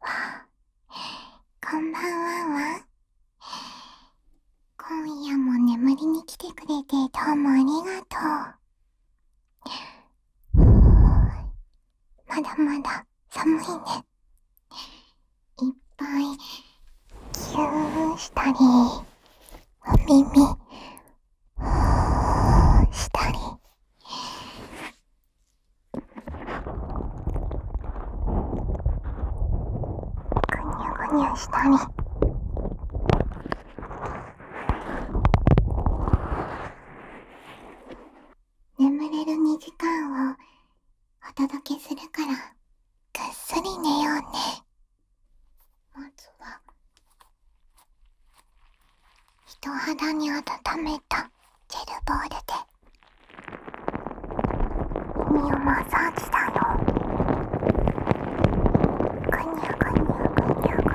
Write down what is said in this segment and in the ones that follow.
わこんばんはわ今夜も眠りに来てくれてどうもありがとうまだまだ寒いねいっぱいキューしたりお耳したり…ぐにゅぐにゅしたり…眠れる2時間をお届けするからぐっすり寝ようねまずは人肌に温めたジェルボールで耳をマッサージだよぐにゃぐにゃぐにゃぐにゃ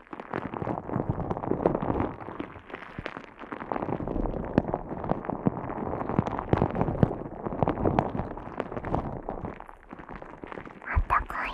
あったかい。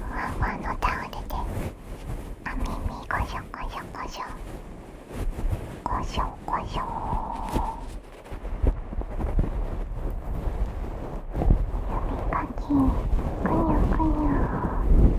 ふわふわのタオルであみみごしょごしょごしょごしょごしょかきくにゃくにゃえいえいえい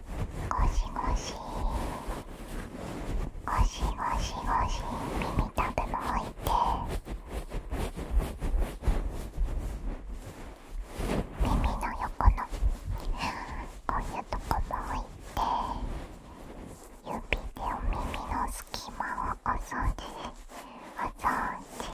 シゴシゴシゴシゴシ耳たぶも置いて耳の横のこういうとこも置いて指でお耳の隙間をお掃除お掃除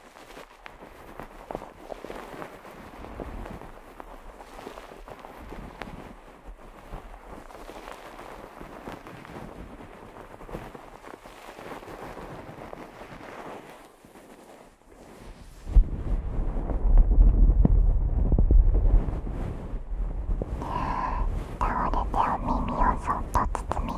倒れてお耳をそっと包み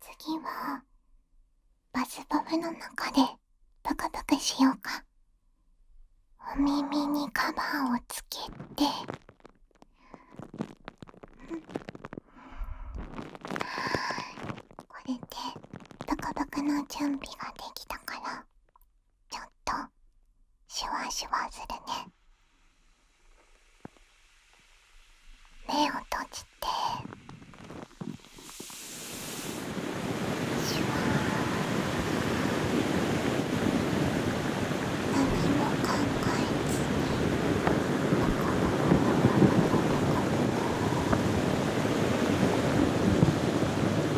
次はバスボムの中でプクプクしようかお耳にカバーをつけてこれでプクプクの準備ができたからちょっとシュワシュワするね目を閉じてシュワ何も考えずに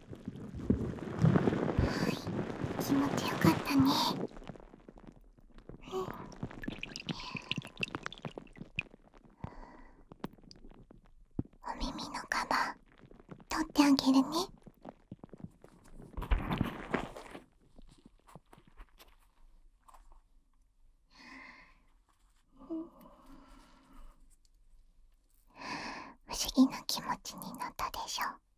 はい気持ちよかったねお耳のカバー取ってあげるね不思議な気持ちになったでしょ次は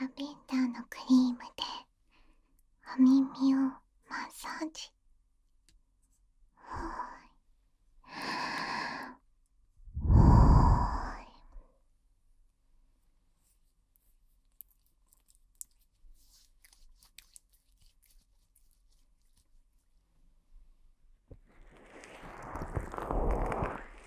ラベンダーのクリームでお耳をマッサージほーいほーい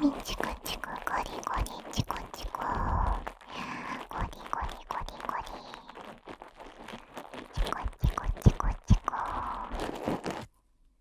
耳チクチクゴリゴリチクチクゴリゴリゴリゴリチクチクチクチクチク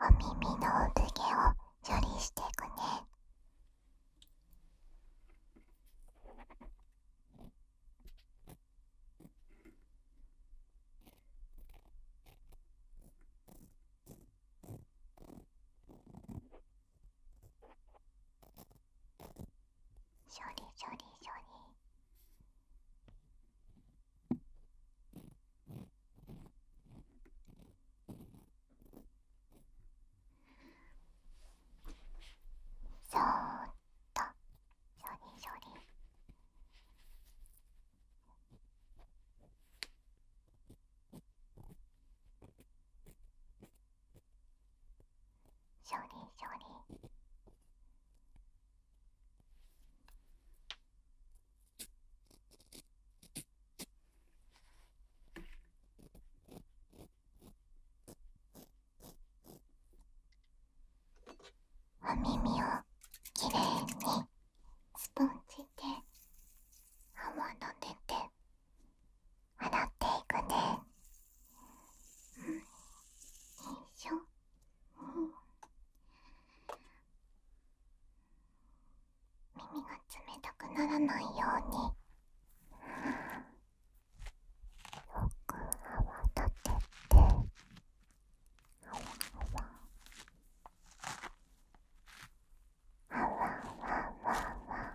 お耳の産毛を処理していくね勝利勝利勝利そーっと勝利勝利勝利勝利お耳をきれいにスポンジで泡立てて洗っていくねうんしょ、耳が冷たくならないようによく泡立てて泡泡泡泡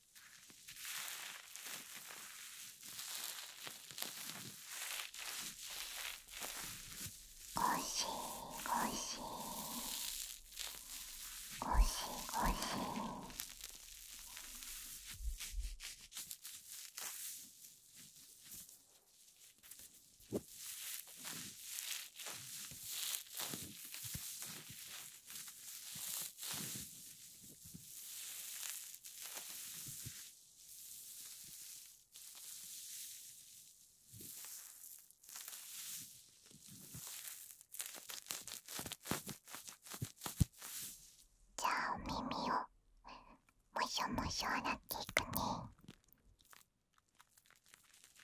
しごしごしごしじゃあお耳をもしょもしょ洗っていくね。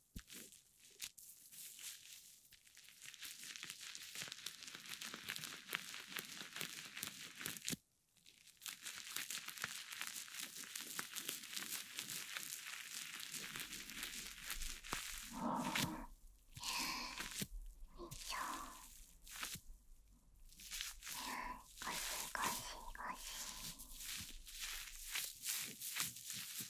ゴシゴシゴシ。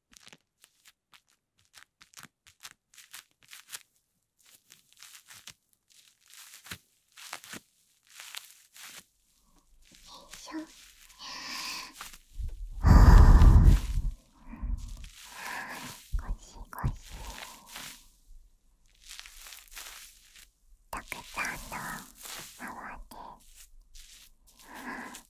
しょ。ごしごし。たくさんの泡で。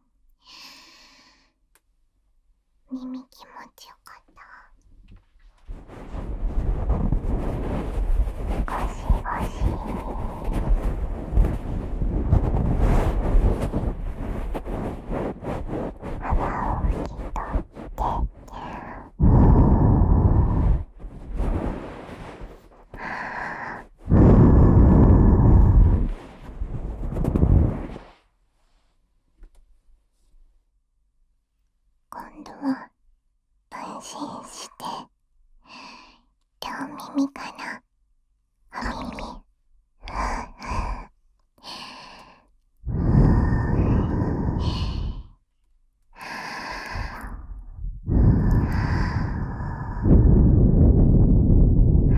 耳気持ちよかったゴシゴに、鼻を拭き取ってはあん今度は安心して両耳かなお耳ふうふうふう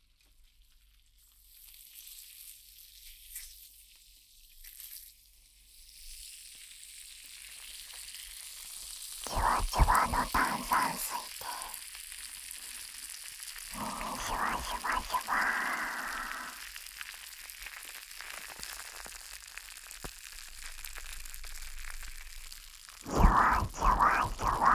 じわじわの炭酸水で耳シュワシュワシュワシュワシュワシュワ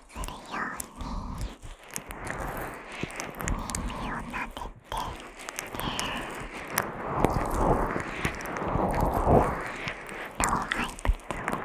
するように耳をなでて老廃物を流して卵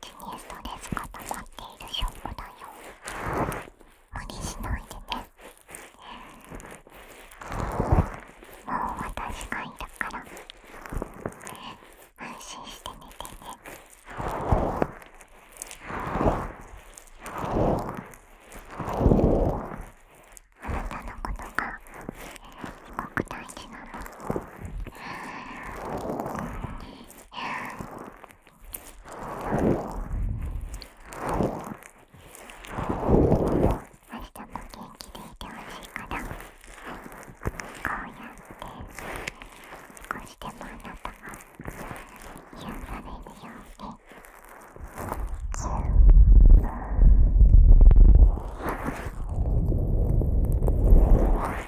気にストレスが溜まっている証拠だよ無理しないでねもう私がいたから安心して寝てねあなたのことが国内でなの。明日も元気でいてほしいから、こうやって少しでもあなたが癒されるように。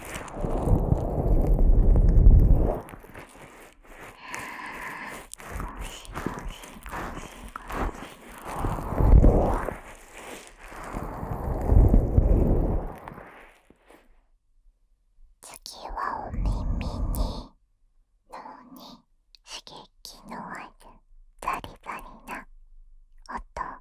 次はお耳に脳に刺激のあるザリザリな音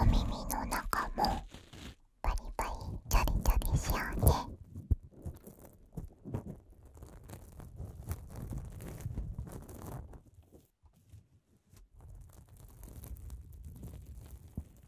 お耳の中もバリバリチャリチャリしようね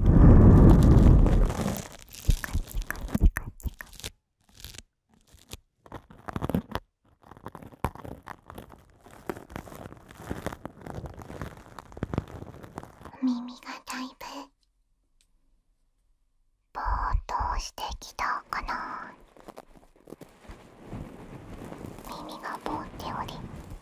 お耳がだいぶぼーっとしてきたかな耳がぼーっており。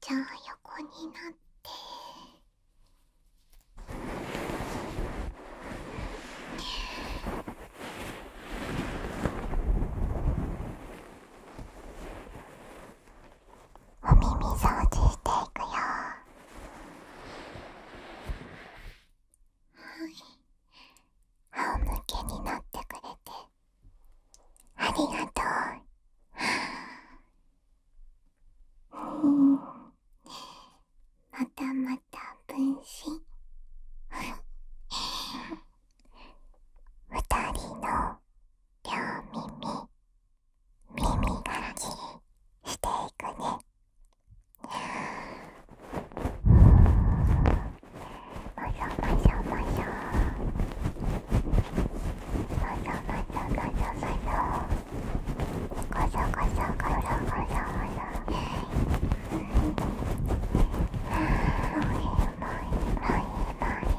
じゃあ横になってお耳掃除していくよはい仰向けになってくれてありがとううんまたまた分身二人の両耳耳がらきりしていくねましょましょましょましょましょましょましょこまいまいまいまい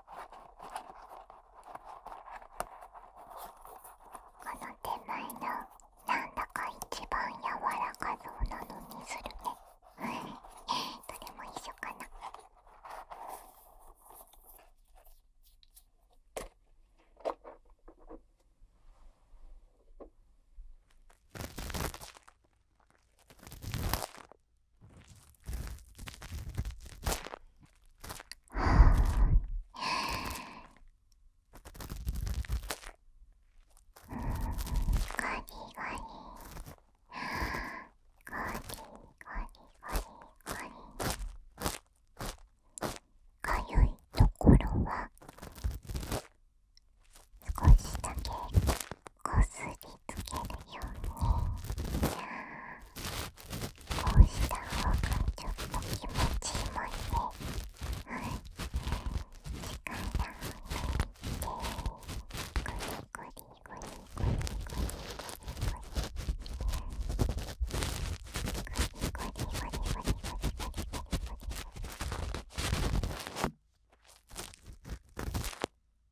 この手前のなんだか一番柔らかそうなのにするね どれも一緒かなかゆいところは少しだけこりつけるようにこうした方がちょっと気持ちいいもんねはい力抜いてゴリゴリゴリゴリゴリゴリゴリゴリゴリゴリゴリゴリ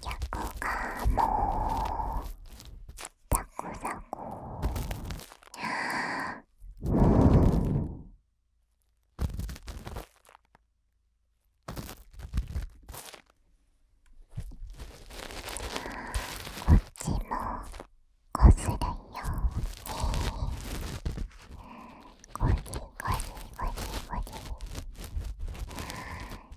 逆がもうザクザクこっちもこするよゴリゴリゴリゴリ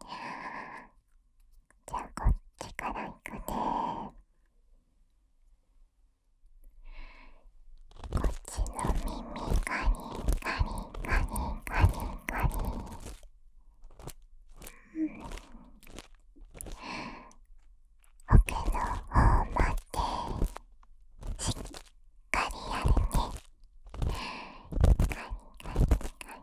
じゃあこっちからいくねこっちの耳カリンカリンカリンカリンカリンうまでしっかりやるねカリンカリン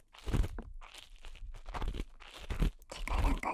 だからなんいいかな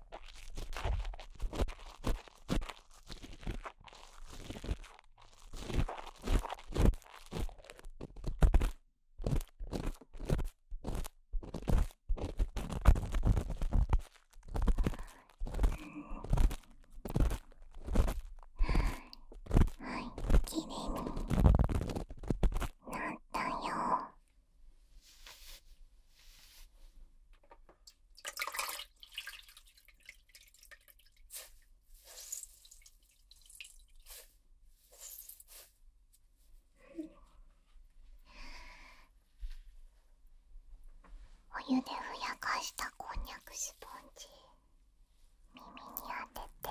はいきれいになったよお湯でふやかしたこんにゃくスポンジ耳に当てて。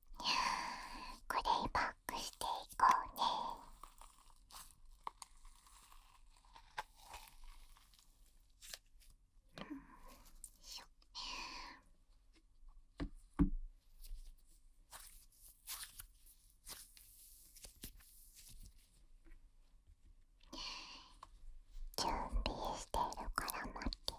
これバックしていこうねしょ準備しているから待ってね。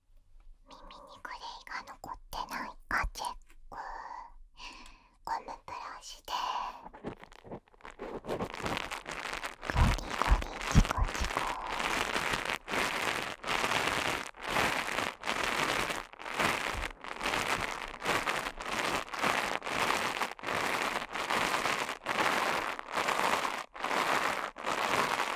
耳にグレイが残ってないかチェックゴムブラシでゴリゴリチコチコ「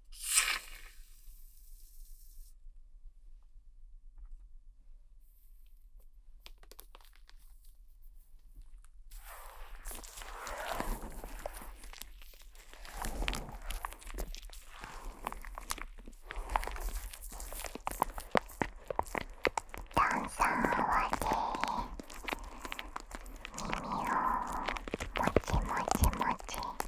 炭酸泡で耳をもちもちもち。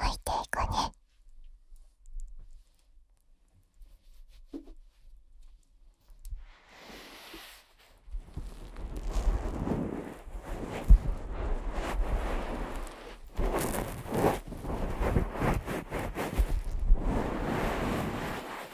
拭いていくね。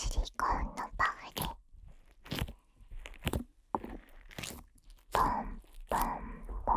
シリコンのパフでポンポンポン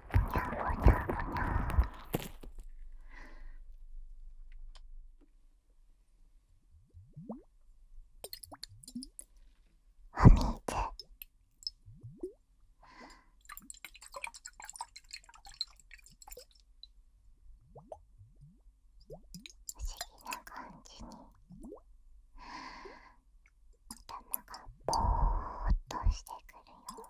お水不思議な感じに頭がぼーっとしてくるよ。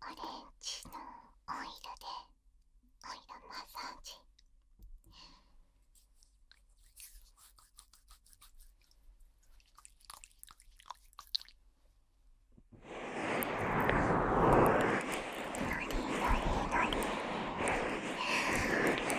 オレンジのオイルでオイルマッサージのりのりのり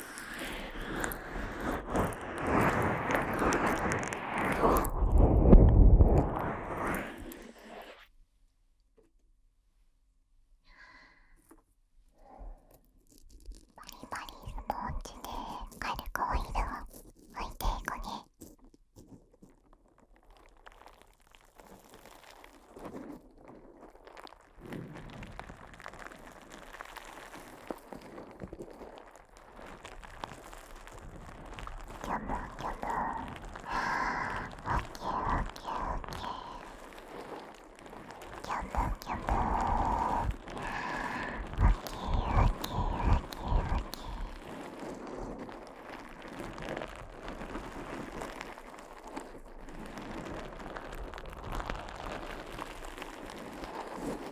バリスポーツで軽くオイルを拭いていくね。Come on, come on. Okay, okay, okay. Come on, come on. Okay, okay, okay, okay.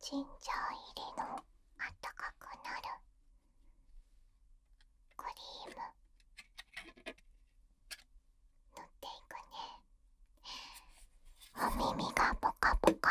ジンジャー入りのあったかくなるクリーム塗っていくねお耳がポカポカ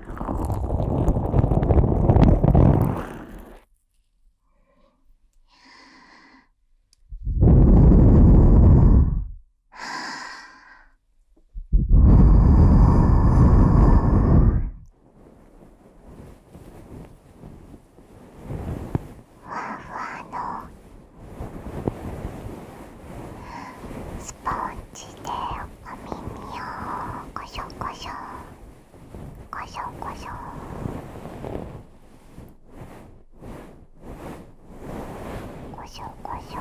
スポンジでお耳をこしょこしょ。こしょこしょこしょこしょ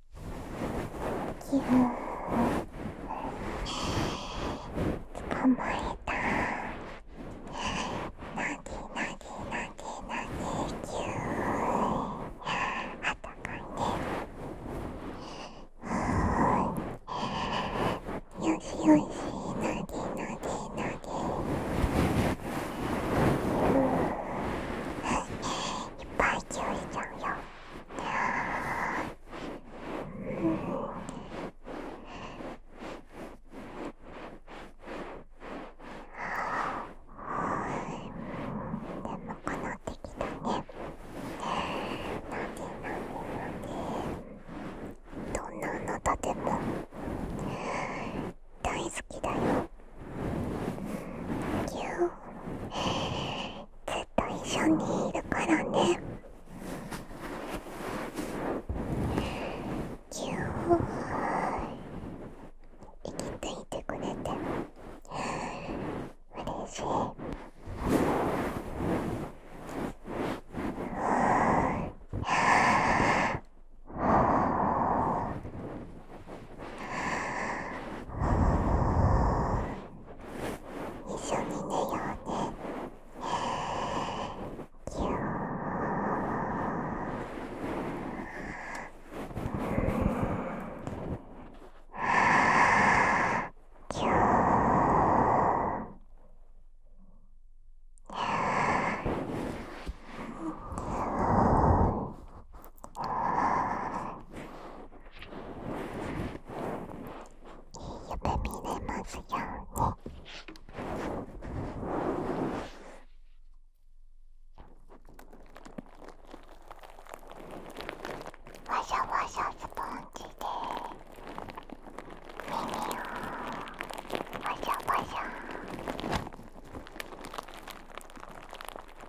気分捕まえたなぎなぎなぎなぎーあったかいねよしよしなぎなぎいっぱいちゅーしちゃうよははなってきたね…どんなあなたでも大好きだよ。ぎゅー。ずっと一緒にいるからねキュー生きていてくれて嬉しいあ一緒に寝ようねいい夢見れますように。わしゃわしゃスポンジで耳をわしゃわしゃ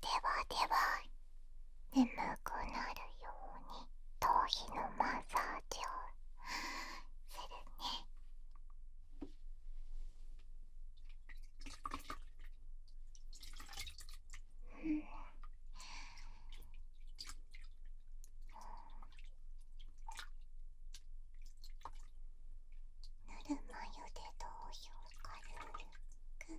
ではでは眠くなるように頭皮のマッサージをするね。ぬるま湯で頭皮を軽くゆす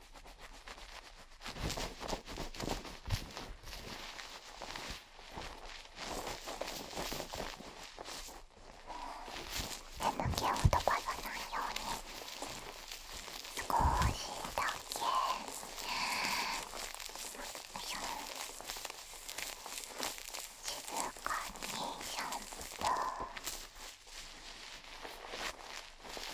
えのきを飛ばさないように少しだけ静かにシャンプー。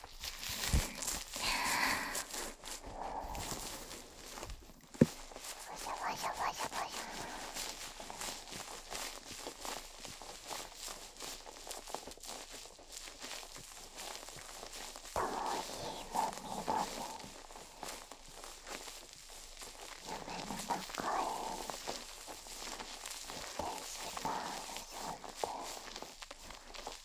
シャバシャバシャバシャとひもみどみ夢の中へ行ってしまうそして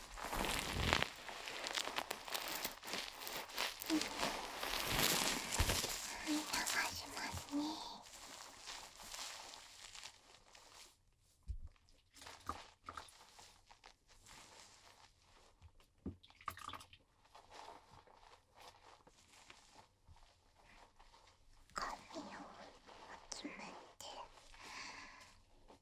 しますね髪を集めて。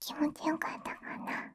気持ちよかったかな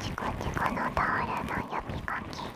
チコチコのタオルの呼びかけ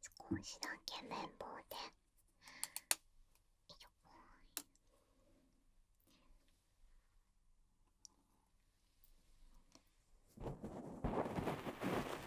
少しだけ綿棒でよ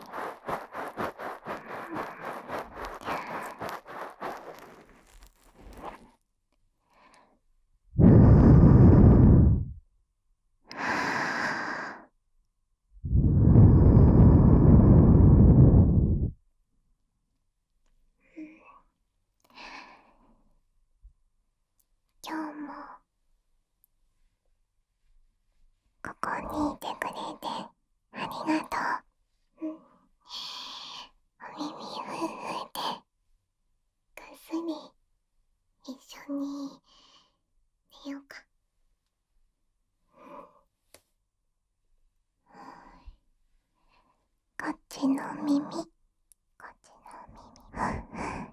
今日もここにいてくれてありがとう、お耳ふんふんでぐっすり一緒に寝ようか。こっちの耳こっちの耳